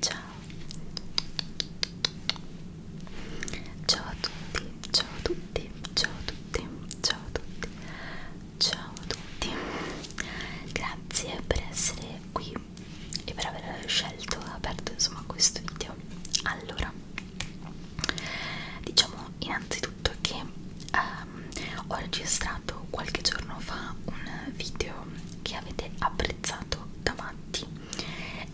Ciao Ciao a tutti, ciao a tutti, ciao a tutti, ciao a tutti, ciao a tutti Grazie per essere qui e per aver scelto e aperto insomma questo video Allora, diciamo innanzitutto che um, ho registrato qualche giorno fa un video che avete apprezzato da, matti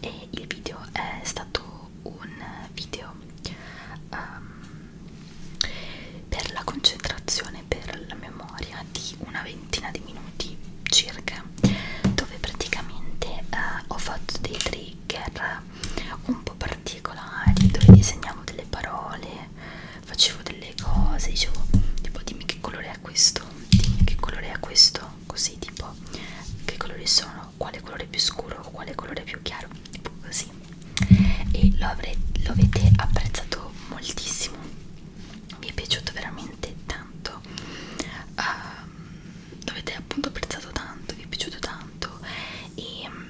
e il video è stato un video um, per la concentrazione per la memoria di una ventina di minuti circa dove praticamente uh, ho fatto dei trigger un po' particolari dove disegnavo delle parole facevo delle cose dicevo tipo dimmi che colore colore è questo? Dimmi che colore è questo? Così tipo che colori sono? Quale colore più scuro? Quale colore più chiaro? Tipo così. E lo, avrei, lo avete apprezzato moltissimo. Mi è piaciuto veramente tanto. Uh, ehm, lo avete appunto apprezzato tanto, vi è piaciuto tanto. E um,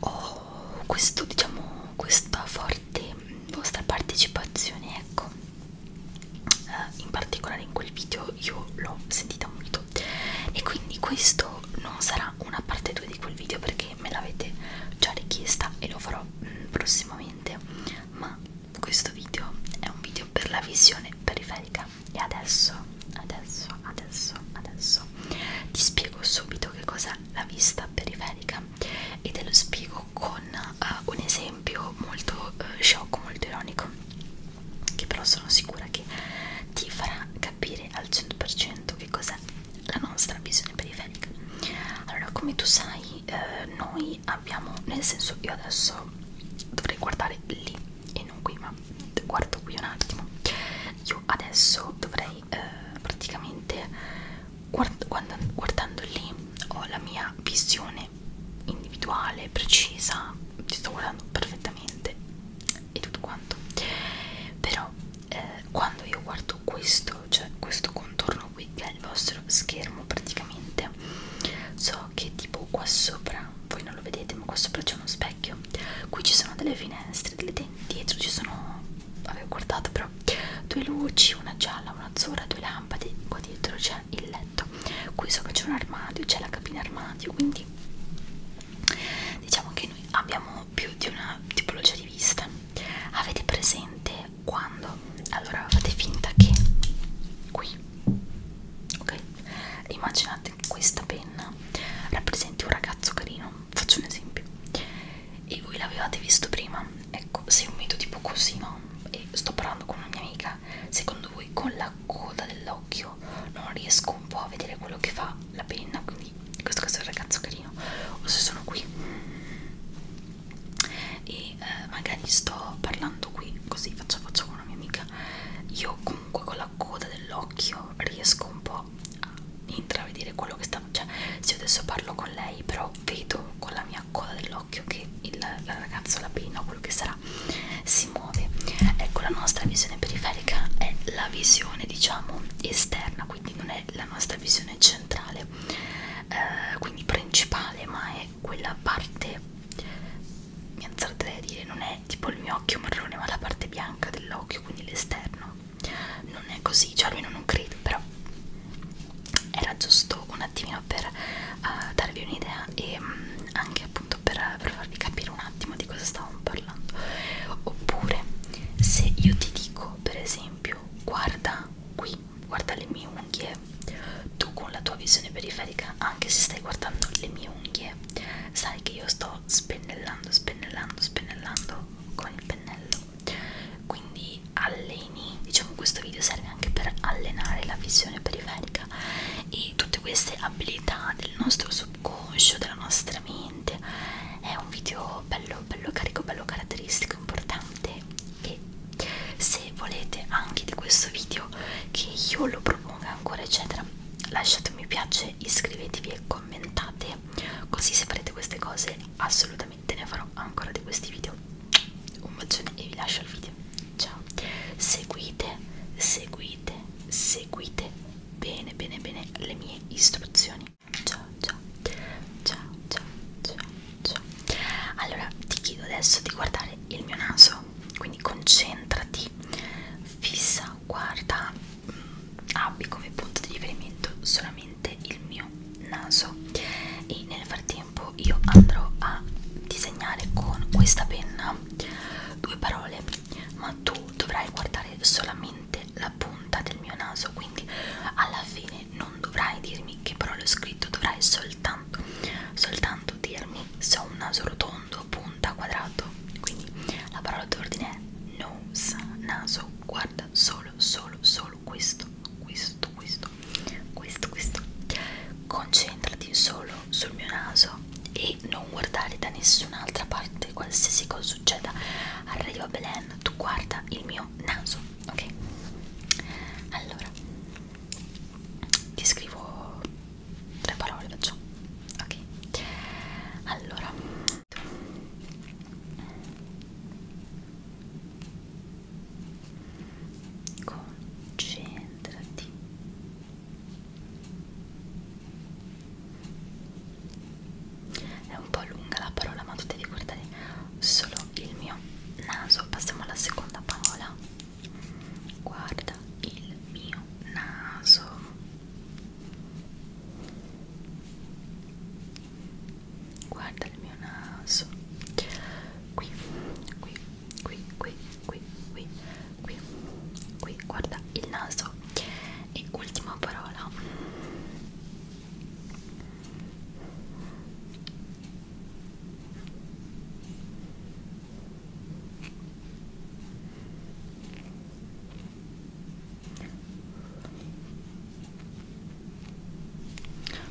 ho questo, diciamo, questa forza parte, vostra partecipazione, ecco. Uh, in particolare in quel video io l'ho sentita molto e quindi questo non sarà una parte 2 di quel video perché me l'avete già richiesta e lo farò mh, mm, prossimamente ma questo video è un video per la visione periferica e adesso adesso adesso adesso ti spiego subito che cos'è la vista periferica e te lo spiego con uh, un esempio molto uh, sciocco, molto ironico, che però sono sicura che ti farà capire al 100% che cos'è la nostra visione periferica. Allora, come tu sai, uh, noi abbiamo, nel senso, io adesso dovrei guardare lì e non qui, ma guardo qui un attimo. Io adesso dovrei eh, praticamente guard guard guardando lì ho la mia visione individuale, precisa, ti sto guardando perfettamente e tutto quanto. Però eh, quando io guardo questo, cioè questo contorno qui che è il vostro schermo praticamente, so che tipo qua sopra, voi non lo vedete ma qua sopra c'è uno specchio, qui ci sono delle finestre, delle dietro ci sono avevo guardato però due luci, una gialla, una azzurra, due lampade, qua dietro c'è il letto, qui sopra c'è un armadio, c'è la cabina armadio, quindi diciamo che noi abbiamo più di una tipologia di vista. Avete presente quando? Allora fate finta che qui, ok? Immaginate che questa penna rappresenti un ragazzo carino, faccio un esempio e voi l'avevate visto prima ecco se un mito tipo così no e sto parlando con una mia amica secondo voi con la coda dell'occhio non riesco un po' a vedere quello che fa la penna quindi questo caso è un ragazzo carino o se sono qui e eh, magari sto parlando qui così faccio faccia con una mia amica io comunque con la coda dell'occhio riesco un po' a intravedere quello che sta cioè se io adesso parlo con lei però vedo con la mia coda dell'occhio che il, il ragazzo, la penna o quello che sarà, si muove. Ecco, la nostra visione periferica è la visione, diciamo, esterna, quindi non è la nostra visione centrale, eh, quindi principale, ma è quella parte, mi azzarderei a dire, non è tipo il mio occhio marrone, ma la parte bianca dell'occhio, quindi l'esterno. Non è così, cioè almeno non credo, però era giusto un attimino per uh, darvi un'idea e um, anche appunto per, per farvi capire un attimo di cosa stavamo parlando oppure se io ti dico per esempio guarda qui guarda le mie unghie tu con la tua visione periferica anche se stai guardando le mie unghie sai che io sto spennellando spennellando spennellando con il pennello quindi alleni diciamo questo video serve anche per allenare la visione periferica e tutte queste abilità del nostro subconscio della nostra mente è un video bello bello carico bello caratteristico importante e se volete anche di questo video che io lo proponga ancora eccetera lasciate un mi piace iscrivetevi e commentate così se farete queste cose assolutamente assolutamente ne farò ancora di questi video un bacione e vi lascio il video ciao seguite seguite seguite bene bene bene le mie istruzioni ciao ciao ciao ciao ciao ciao allora ti chiedo adesso di guardare il mio naso quindi concentrati fissa guarda mm, abbi come punto di riferimento solamente il mio naso e nel frattempo tempo io andrò a disegnare con questa penna due parole ma tu dovrai guardare solamente la punta del mio naso quindi alla fine non dovrai dirmi che parole ho scritto dovrai soltanto soltanto dirmi se ho un naso rotondo punta quadrato quindi la parola d'ordine è nose naso guarda solo solo solo solo questo, questo, questo, questo, questo. Concentrati solo sul mio naso e non guardare da nessun'altra parte qualsiasi cosa succeda. Arrivo a Belen, tu guarda il mio naso, ok? Allora, ti scrivo tre parole, faccio. Ok. Allora concentrati è un po' lunga la parola ma tu devi guardare solo il mio naso passiamo alla seconda parola guarda il mio naso guarda il mio naso qui qui qui qui qui qui qui qui guarda il naso e ultima parola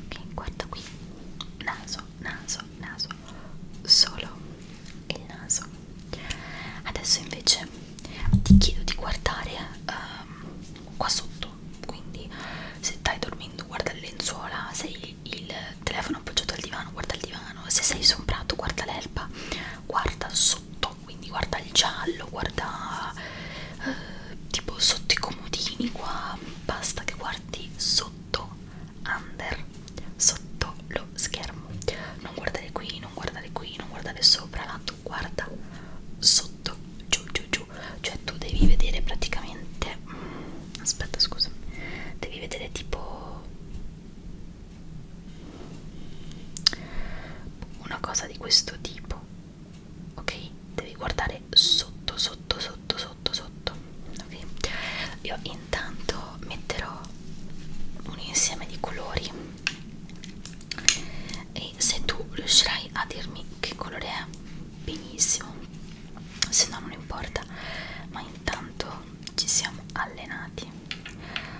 ok guarda qui naso naso naso solo il naso adesso invece ti chiedo di guardare um, qua sotto quindi se stai dormendo guarda le lenzuola se il, il telefono appoggiato al divano guarda il divano se sei su un prato guarda l'erba guarda sotto quindi guarda il giallo guarda eh, tipo sotto i comodini qua basta che guardi sotto under sotto lo schermo non guardare qui non guardare qui non guardare sopra ma tu guarda sotto giù giù giù cioè tu devi vedere praticamente mm, aspetta scusa devi vedere tipo una cosa di questo tipo ok devi guardare sotto sotto sotto sotto sotto ok io intanto metterò un insieme di colori e se tu riuscirai a dirmi che colore è benissimo se no non importa ma intanto ci siamo allenati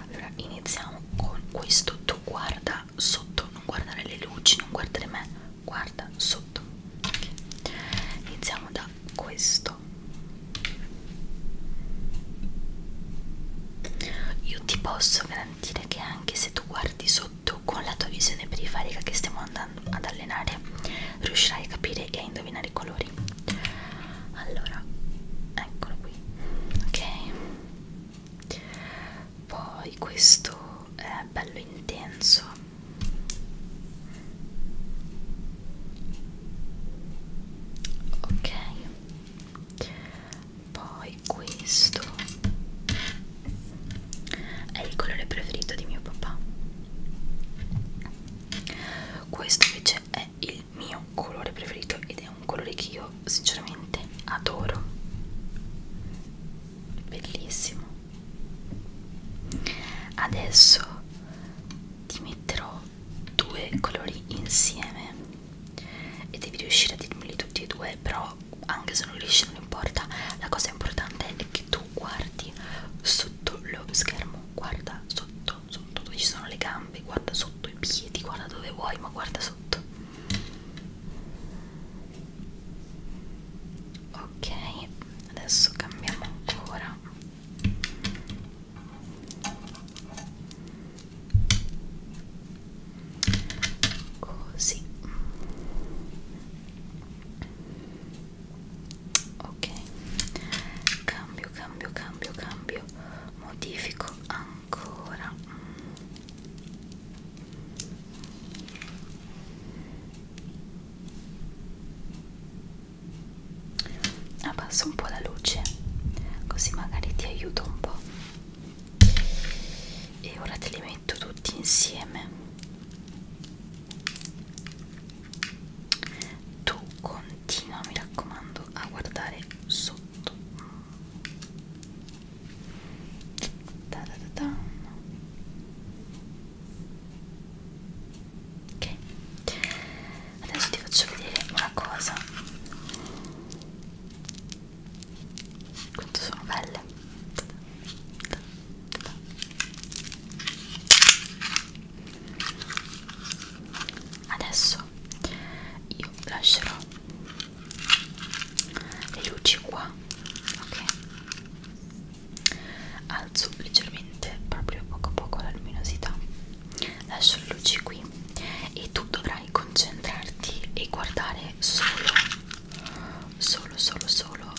allora iniziamo con questo tu guarda sotto non guardare le luci non guardare me guarda carta sotto okay. iniziamo da questo io ti posso garantire che anche se tu guardi sotto con la tua visione periferica che stiamo andando ad allenare riuscirai a capire e a indovinare i colori allora eccolo qui ok poi questo è bello intenso ok poi questo è il colore preferito di mio papà questo invece è il mio colore preferito ed è un colore che io sinceramente adoro bellissimo adesso ti metterò due colori insieme e devi riuscire a dirmeli tutti e due però anche se non riesci non importa la cosa importante è che tu guardi sotto lo schermo guarda sotto sotto dove ci sono le gambe guarda sotto i piedi guarda dove vuoi ma guarda sotto ok adesso cambiamo ancora così ok cambio cambio cambio cambio modifico ancora abbasso un po' la luce così magari ti aiuto un po' e ora te li metto tutti insieme tu continua mi raccomando a guardare sotto da da da da ok adesso ti faccio vedere una cosa quanto sono belle adesso io lascerò le luci qua ok alzo leggermente proprio poco a poco la luminosità lascio le luci qui e tu dovrai concentrarti e guardare solo solo solo solo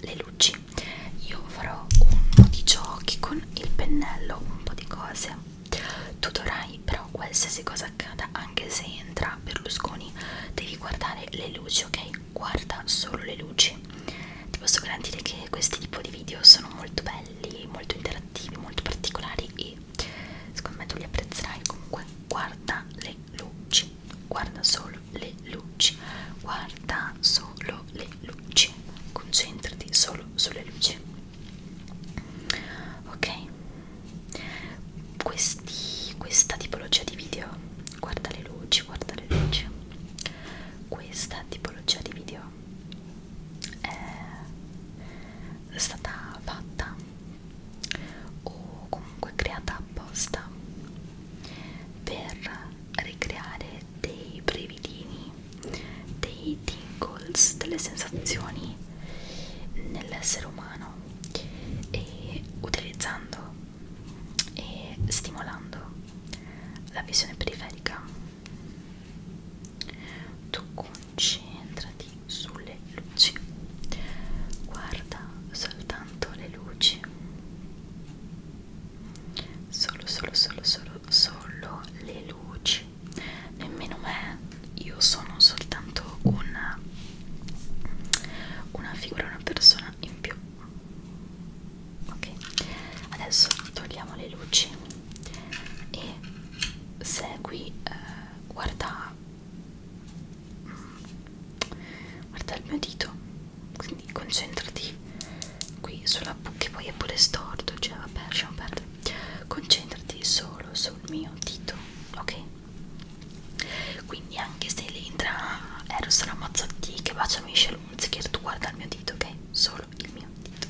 le luci io farò un po' di giochi con il pennello un po' di cose tu dovrai però qualsiasi cosa accada anche se entra Berlusconi devi guardare le luci ok guarda solo le luci ti posso garantire che questi tipo di video sono molto belli molto interattivi molto particolari e secondo me tu li apprezzerai comunque guarda le luci guarda solo le luci guarda solo le luci concentrati solo sulle luci ok questi, questa tipologia di video guarda le luci guarda le luci questa tipologia di video è stata fatta o comunque creata apposta per ricreare dei brevidini dei tingles delle sensazioni nell'essere umano e utilizzando e stimolando la visione periferica. Tu concentrati sulle luci, guarda soltanto le luci, solo, solo, solo, solo, solo le luci, nemmeno me, io sono soltanto un una figura, una persona in più. Ok, adesso togliamo le luci e segui, eh, guarda, mm, guarda il mio dito, quindi concentrati qui sulla che poi è pure storto, cioè vabbè lasciamo perdere, concentrati solo sul mio dito, ok? quindi anche se lì entra Eros Ramazzotti che bacia Michel Hunziker tu guarda il mio dito ok? solo il mio dito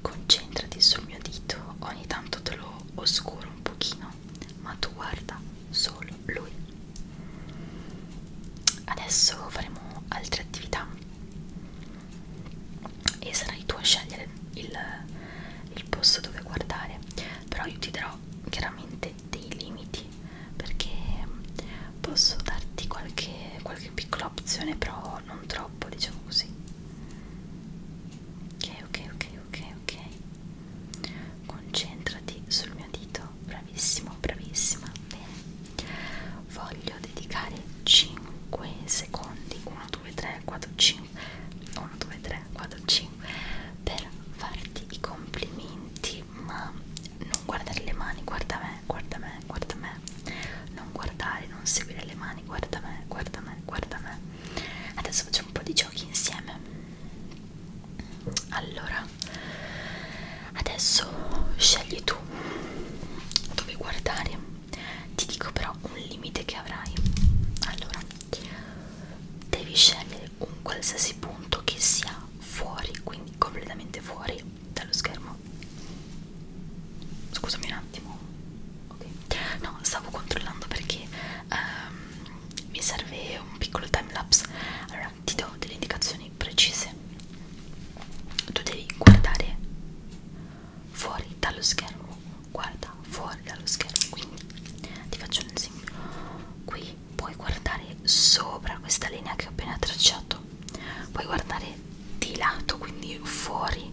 concentrati sul mio dito ogni tanto te lo oscuro un pochino ma tu guarda solo lui adesso faremo altre attività e sarai tu a scegliere il, il posto dove guardare però io ti darò ho chiaramente dei limiti perché mm, posso darti qualche, qualche piccola opzione però non troppo diciamo così ok ok ok ok ok concentrati sul mio dito bravissimo bravissima bene voglio dedicare 5 secondi 1 2 3 4 5 1 2 3 4 5 per farti i complimenti ma non guardare le mani guarda me guarda me guarda me non guardare non seguire le mani guarda me guarda me guarda me adesso facciamo un po' di giochi insieme allora adesso scegli tu dove guardare ti dico però un limite che avrai allora devi scegliere un qualsiasi punto che sia fuori quindi completamente fuori dallo schermo scusami un attimo okay. no stavo controllando perché um, mi serve un piccolo time lapse allora ti do delle indicazioni precise tu devi guardare fuori dallo schermo guarda fuori dallo schermo quindi ti faccio un esempio qui puoi guardare sopra questa linea che ho appena tracciato puoi guardare di lato quindi fuori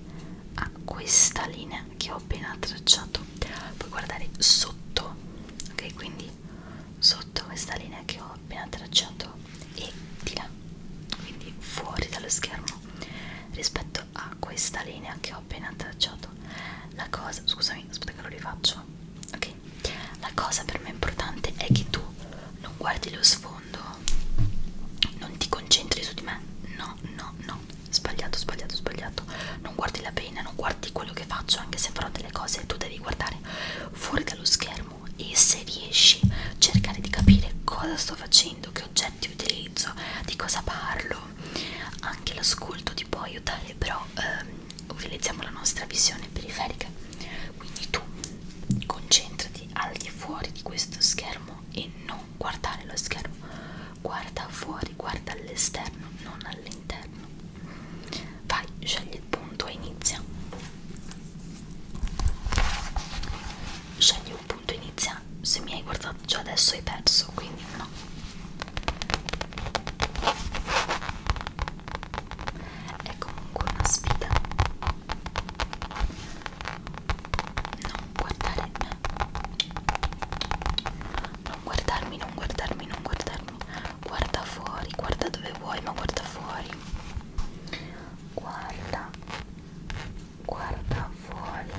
a questa linea che ho appena tracciato puoi guardare sotto ok quindi sotto questa linea che ho appena tracciato e di là quindi fuori dallo schermo rispetto a questa linea che ho appena tracciato la cosa scusami aspetta che lo rifaccio ok la cosa per me importante è che tu non guardi lo sfondo non ti concentri su di me no no no sbagliato sbagliato sbagliato non guardi la pena non guardi quello che faccio anche se farò delle cose tu devi guardare fuori dallo schermo e se riesci cercare di capire cosa sto facendo che oggetti utilizzo di cosa parlo anche l'ascolto ti può aiutare però ehm, utilizziamo la nostra visione periferica quindi tu concentrati al di fuori di questo schermo e non guardare lo schermo guarda fuori guarda all'esterno non all'interno vai scegli il punto e inizia scegli un punto e inizia se mi hai guardato già adesso hai perso quindi no è comunque una sfida non guardare me non guardarmi, non guardarmi, non guardarmi guarda fuori, guarda dove vuoi ma guarda fuori guarda guarda fuori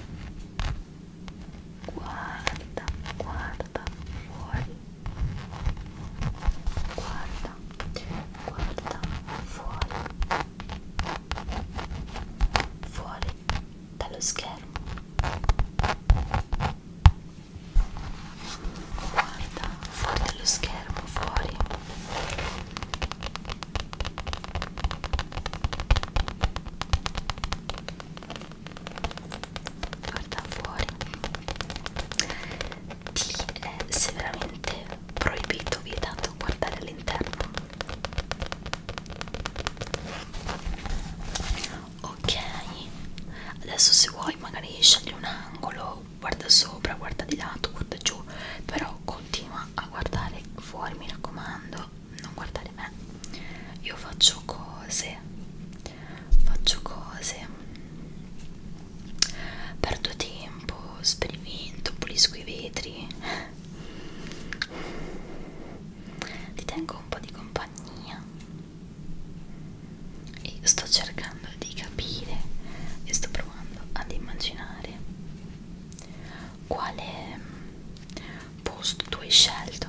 guarda, guarda fuori, guarda, guarda fuori, fuori dallo schermo, guarda fuori dallo schermo, fuori guarda fuori ti è severamente proibito vietato guardare all'interno ok adesso se vuoi magari scegli un angolo guarda sopra guarda di lato guarda giù però continua a guardare fuori mi raccomando non guardare me io faccio cose faccio cose, perdo tempo, sperimento, pulisco i vetri, ti tengo un po' di compagnia e sto cercando di capire e sto provando ad immaginare quale posto tu hai scelto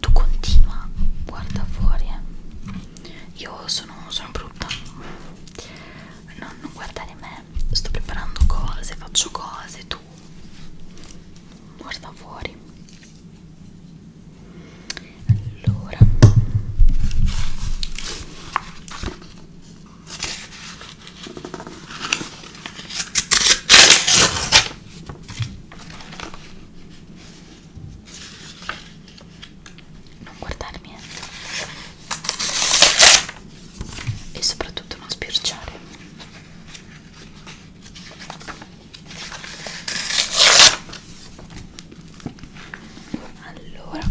tu continua guarda fuori eh. io sono, sono brutta non, non guardare me sto preparando cose faccio cose tu guarda fuori allora non guardarmi eh. e soprattutto non spirciare allora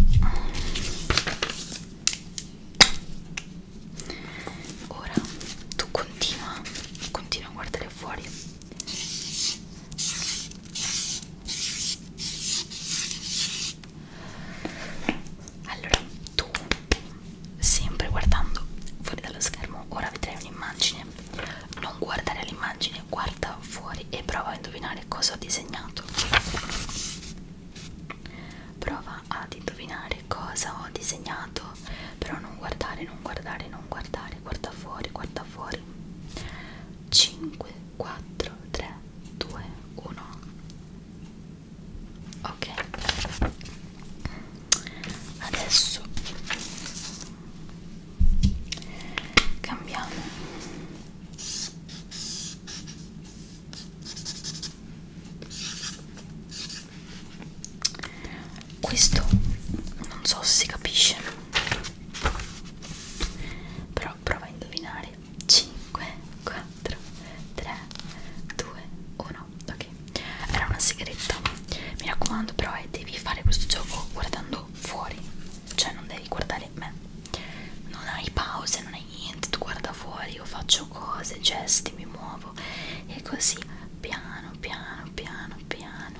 ora tu continua continua a guardare fuori allora tu sempre guardando fuori dallo schermo ora vedrai un'immagine non guardare l'immagine guarda fuori e prova a indovinare cosa ho disegnato prova ad indovinare che cosa ho disegnato però non guardare non guardare non guardare guarda fuori guarda fuori 5 4 3 2 1 ok adesso cambiamo questo non so se si capisce però prova a indovinare 5 4 3 2 1 ok era una sigaretta mi raccomando però eh, devi fare questo gioco guardando fuori cioè non devi guardare me non hai pause non hai niente tu guarda fuori io faccio cose gesti mi muovo e così piano piano piano piano piano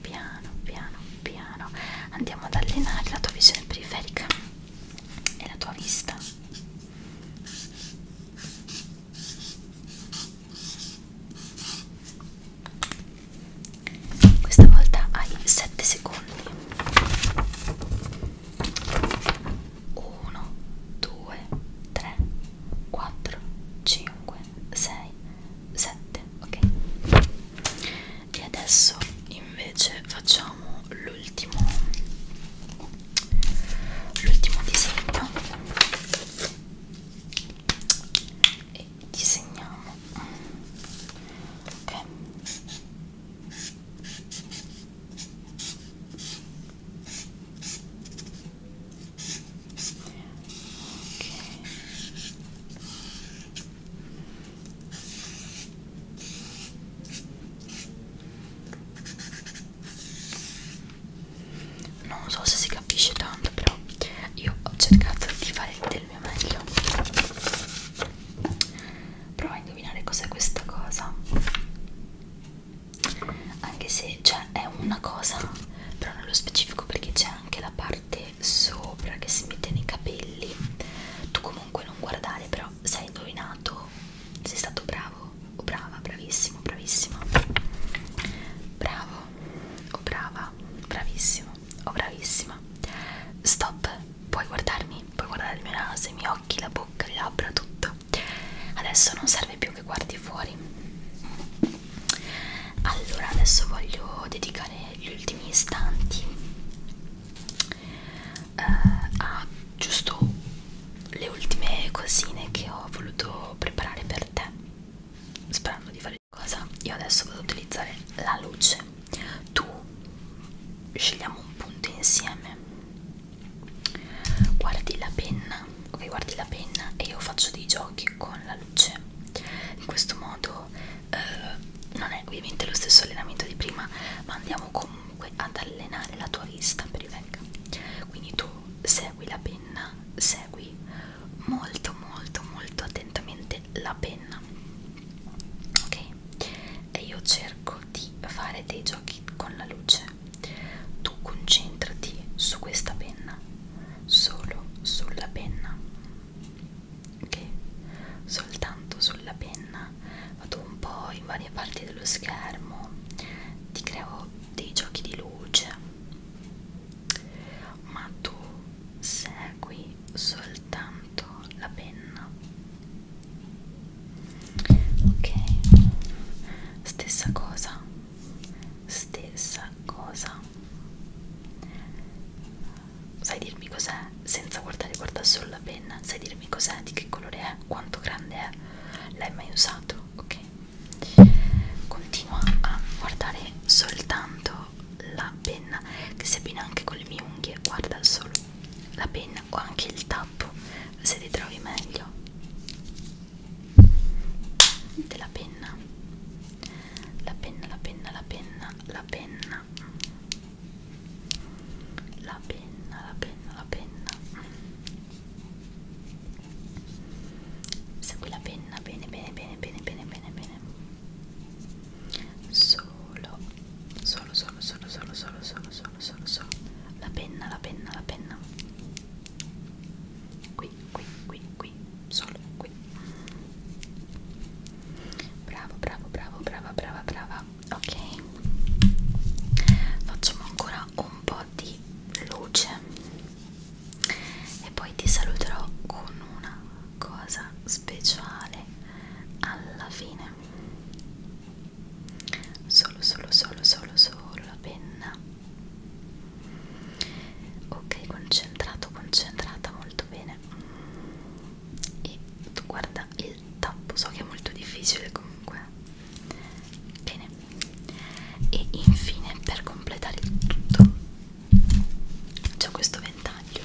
piano piano piano andiamo ad allenare la tua visione periferica e la tua vista questa volta hai 7 secondi 1 2 3 4, 5, 6, 7, ok? E adesso invece facciamo l'ultimo l'ultimo disegno e disegniamo ok non so se si capisce tanto però io ho cercato di fare del mio meglio prova a indovinare cos'è questa cosa anche se cioè, è una cosa però nello specifico perché c'è anche la parte sopra che si mette nei capelli tu comunque non guardare però sei indovinato sei stato bravo o brava bravissimo bravissima bravo o brava bravissimo o bravissima stop puoi guardarmi puoi guardare il mio naso i miei occhi la bocca le labbra tutto adesso non serve più che guardi fuori allora adesso voglio dedicare gli ultimi istanti eh, a giusto le ultime cosine che ho voluto preparare per te sperando di fare cosa io adesso vado ad utilizzare la luce tu scegliamo un punto insieme guardi la penna ok guardi la penna e io faccio dei giochi con la luce in questo modo eh, non è ovviamente lo stesso allenamento di prima ma andiamo comunque ad allenare la tua vista per i vecchi quindi tu segui la penna segui molto molto molto attentamente la penna ok e io cerco di fare dei giochi con la luce tu concentrati su questa penna, solo sulla penna, ok? Soltanto sulla penna. Vado un po' in varie parti dello schermo, ti creo dei giochi di luce, ma tu segui soltanto la penna. Ok, stessa cosa stessa cosa sai dirmi cos'è senza guardare guarda solo la penna sai dirmi cos'è di che colore è quanto grande è l'hai mai usato ok continua a guardare soltanto la penna che si abbina anche con le mie unghie guarda solo la penna o anche il tappo se ti trovi meglio della penna la penna la penna la penna la penna la penna la penna la penna segui la penna bene bene bene bene bene bene bene solo solo solo solo solo solo solo solo solo solo la penna la penna la penna qui qui, qui, qui, qui, solo qui. Bravo, bravo, bravo, brava, brava, brava. Ok, facciamo ancora un po' di luce e poi ti saluterò con una cosa speciale alla fine. Solo, solo, solo, solo, solo la penna ok concentrato concentrata molto bene e guarda il tappo so che è molto difficile comunque bene e infine per completare il tutto c'è questo ventaglio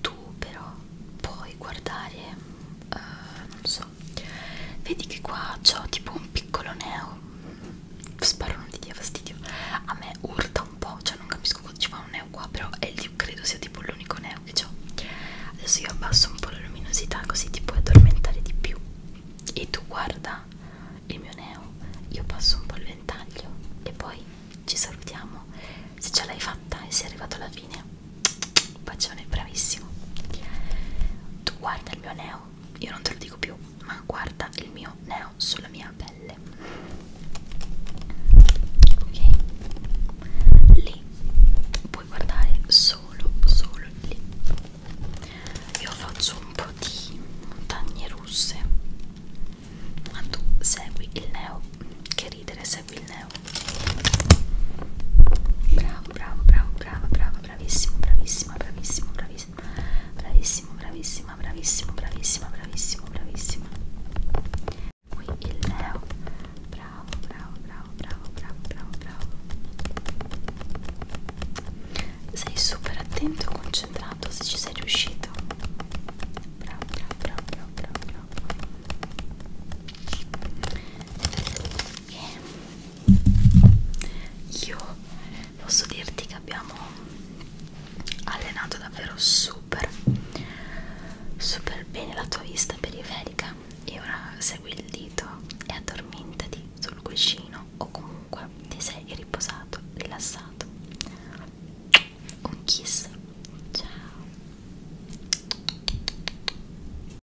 tu però puoi guardare uh, non so rosso vedi che qua c'ho tipo un piccolo neo sparo non ti dia fastidio a me urta un po' cioè non capisco cosa ci fa un neo qua però è, credo sia tipo l'unico neo che ho adesso io abbasso un po' la luminosità così ti puoi addormentare di più e tu guarda il mio neo io passo un po' il ventaglio e poi ci salutiamo se ce l'hai fatta e sei arrivato alla fine bacione bravissimo tu guarda il mio neo io non te lo dico più ma guarda il mio neo sulla mia pelle ok lì puoi guardare solo solo lì io faccio un po' di montagne russe ma tu segui il neo che ridere segui il neo bravo bravo bravo bravo bravo bravissimo, bravissima, bravissimo, bravissimo, bravissimo, bravissima, bravissimo, bravissima, bravissimo, bravissimo. Qui il Leo, bravo, bravo, bravo, bravo, bravo, bravo, bravo. Sei super attento e concentrato se ci sei riuscito. Bravo, bravo, bravo, bravo, bravo, bravo. Yeah io posso dirti che abbiamo allenato davvero super super bene la tua vista periferica e ora segui il dito e addormentati sul cuscino o comunque ti sei riposato rilassato un kiss ciao